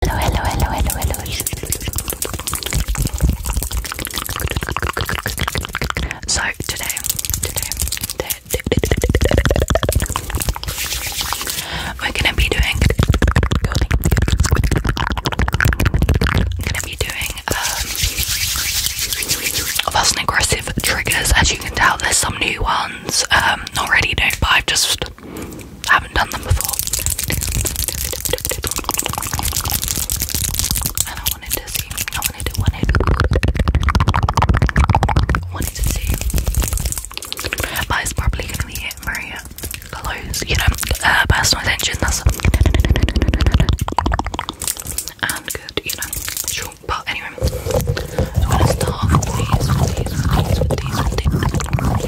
Hello, hello, hello, hello, hello. So today, today, today, we're gonna be doing, gonna be doing um, fast and aggressive triggers. As you can tell, there's some new ones. Um, already, don't but I've just I haven't done them before. And I wanted to see. I wanted to wanted wanted to see. But it's probably gonna be it very you know, uh, personal attention, that's and good, you know, But anyway,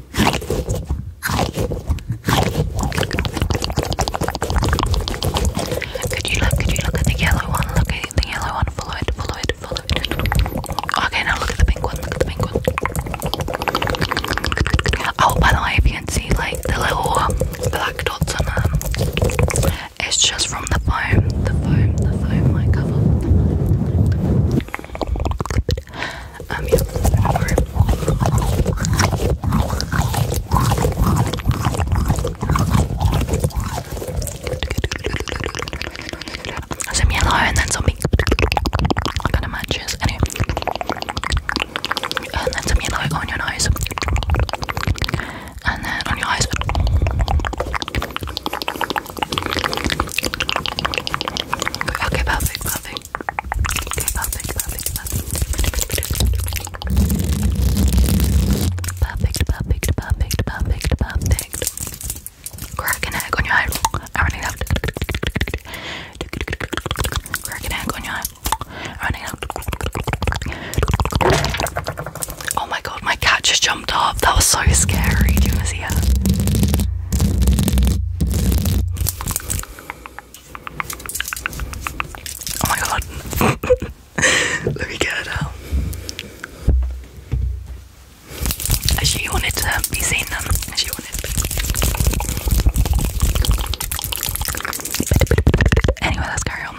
Could you look? Could you look at the yellow one? Look at the yellow one. Follow it. Follow it. Follow it. Okay, now look at the pink one. Look at the pink one. Oh, by the way, if you can see like the little um, black dots on them, um, it's just from the foam. The foam. The foam. My cover. Um, some yellow and then some pink. I kind of matches. Anyway, and then some yellow on your nose, and then on your eyes. Okay, perfect, perfect. Okay, perfect, on your head. I run it out. Crack an on your head. I run it out. Oh my god, my cat just jumped up. That was so scary. Do you want Oh my god. Let me get it out. She wanted to be seen them. She wanted Anyway, let's carry on.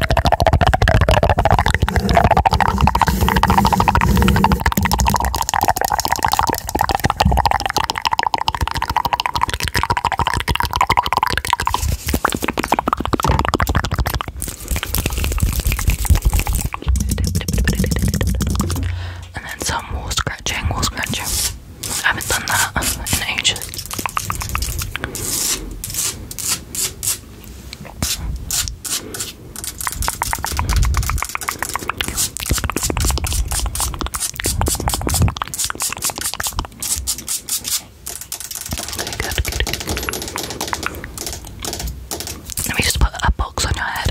And then some wall scratching, wall scratching. I haven't done that in ages. Okay, Let me just put a box on your head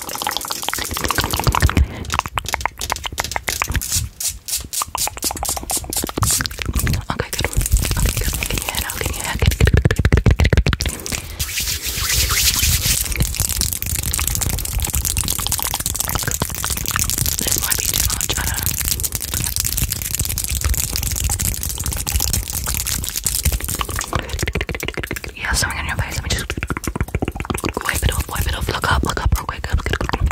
Okay, good. Okay, good. Can you hear now? Can you hear? Good, good, good, good, good, good, good. This might be too much, I don't know. Good, good, good, good, good, good, you have something on your face. Let me just wipe it off, wipe it off. Look up, look up real quick. Look up real quick.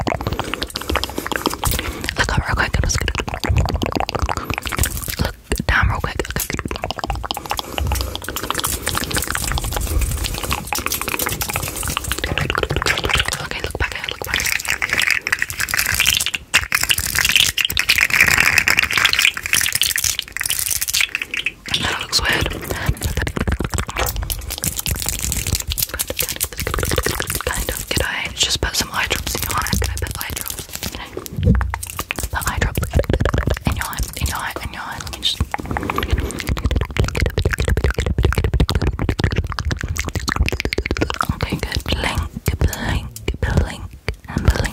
Look down real quick. Okay, look back at look back at Okay, that looks weird. Kind of. Could I just put some eye drops in put eye put eye in your eye? In your eye? In your eye? Let Okay, Blink, blink, blink, blink. Okay,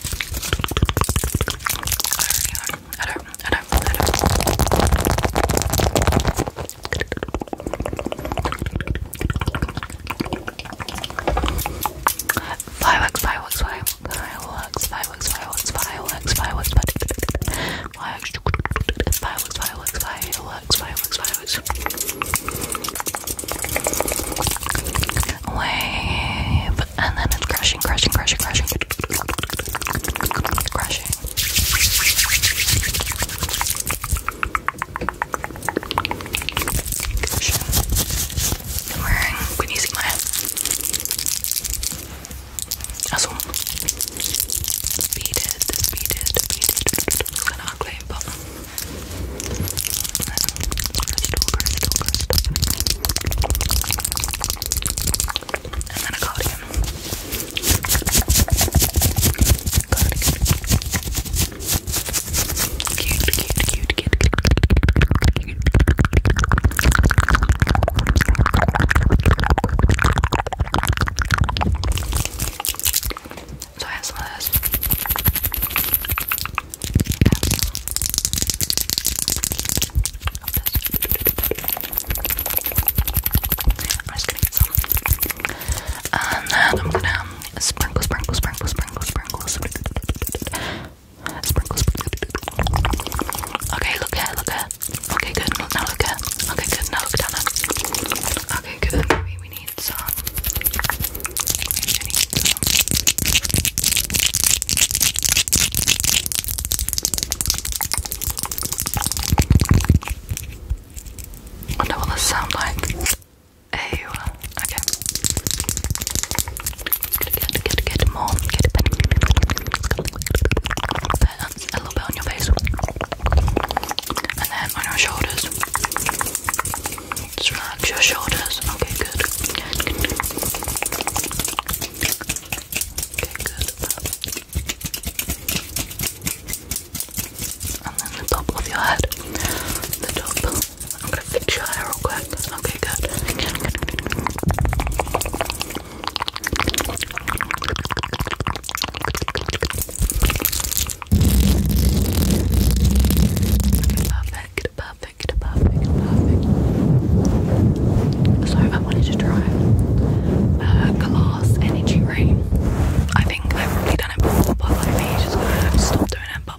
I don't, I don't, I don't. Fireworks, fireworks, fireworks, fireworks, fireworks, fireworks, fireworks, fireworks, fireworks, fireworks, fireworks, fireworks, fireworks, fireworks, fireworks. Wave. And then it's crushing, crushing, crushing, crushing. Crushing. Crushing. I'm wearing Whitney Beaded, beaded, beaded. It's kind of ugly, and then a cardigan. Cardigan. Cute, cute, cute, cute, cute. So I have some of this. I'm just gonna get some. And then I'm gonna sprinkle, sprinkle, sprinkle, sprinkle, sprinkle, sprinkle, sprinkle. Okay, look here, look here. Okay, good. Now look here. Okay, good. Now look down there. Okay, good. Maybe we need some I wonder what this sound like. Ew. Okay. Get, get, get more. Get a pen. A little bit on your face. And then on your shoulders. Just your shoulders. Okay, good. Okay, good. And then the top of your head. The top. I'm gonna fix your hair real quick. Okay, good. Perfect. So I wanted to try a glass energy ring. I think I've probably done it before, but like me just stop doing it. But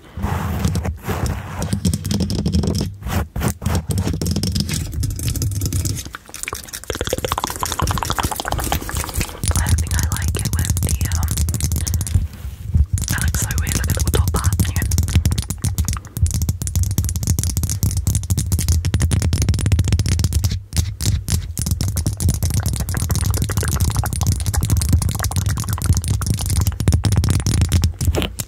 I think I like it with the um that looks so weird, look at the top part yeah.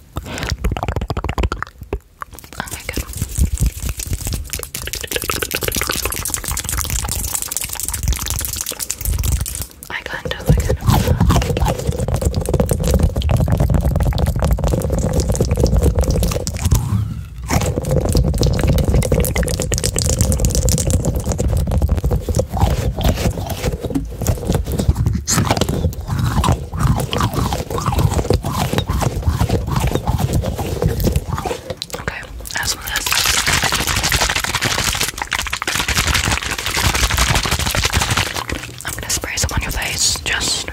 Oh my god. I can't do it again. Okay, as for this. I'm gonna spray some on your face, just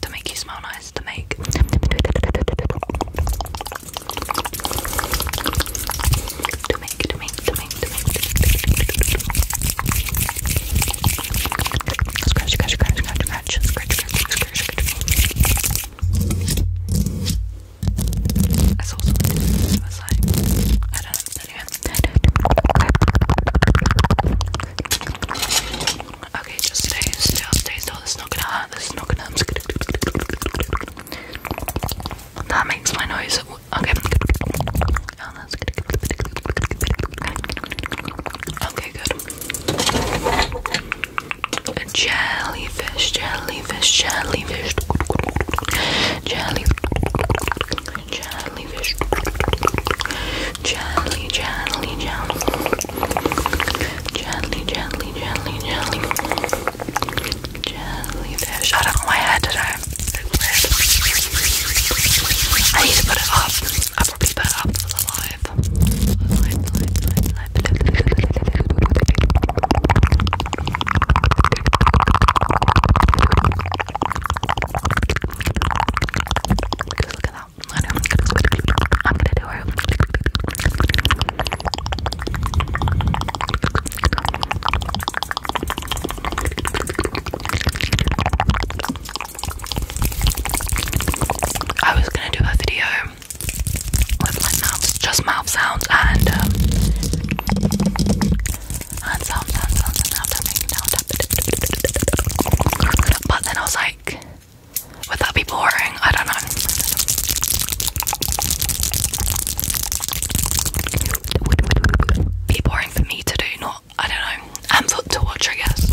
to make you smell nice, to make to make, to make, to make, to make, to make, to make, to make. Scratch, scratch, scratch, scratch, scratch, scratch, scratch, scratch, scratch. I saw something. I was like, I don't know. Okay, just stay still, stay still. This is not gonna hurt. This is not gonna. That makes my noise. Okay. Okay, good. jellyfish, jellyfish, jellyfish. Jelly, jellyfish. Jelly, jelly, jelly. Jelly, jelly, jelly, jelly. Jellyfish. I don't know today. I need to put it off. I'll probably put it for the live. I'm gonna do it. I was gonna do a video with my mouth, just mouth sounds and um, and sound, sound, sound, sound, tapping, sound tapping. But then I was like, would that be boring? I don't know be boring for me to do, not, I don't know, and for, to watch, I guess,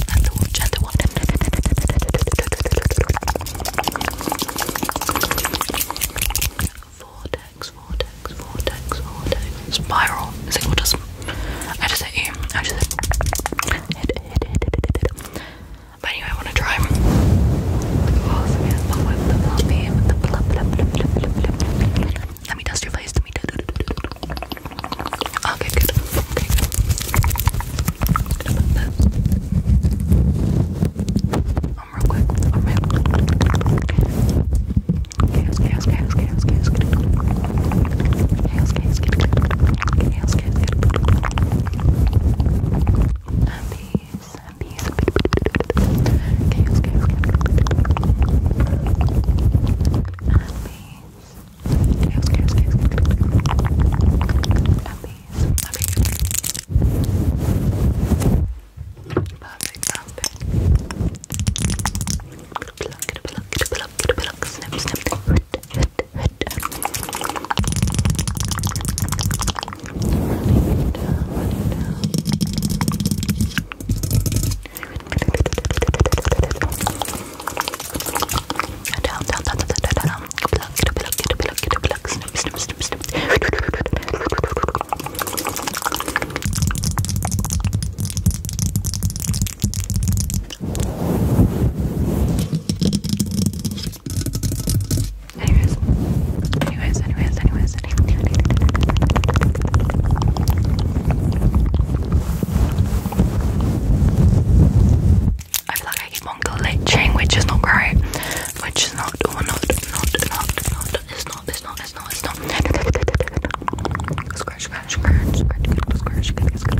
Vortex, vortex, vortex, vortex, spiral, is it autism? I just hit I just hit, But anyway, I want to try. Let me dust your face. Okay, good. Um, real quick. Um, and peace. Chaos, chaos, chaos. And peace. Chaos, chaos, chaos. And peace. Okay. Perfect, perfect. Pluck it, pluck it, pluck it, pluck, snip, snip, hit, hit, hit running down, running down. Down, down, down, down, down, down. Plug, get a plug, get a plug, get a plug. Snip, snip, snip, snip. Snip, Anyways, anyways, anyways, anyways, anyways. I feel like I keep on glitching, which is not great. Which is not, or not, not, not, not. It's not, it's not, it's not, it's not. Scratch, scratch, scratch, scratch, scratch, scratch, scratch.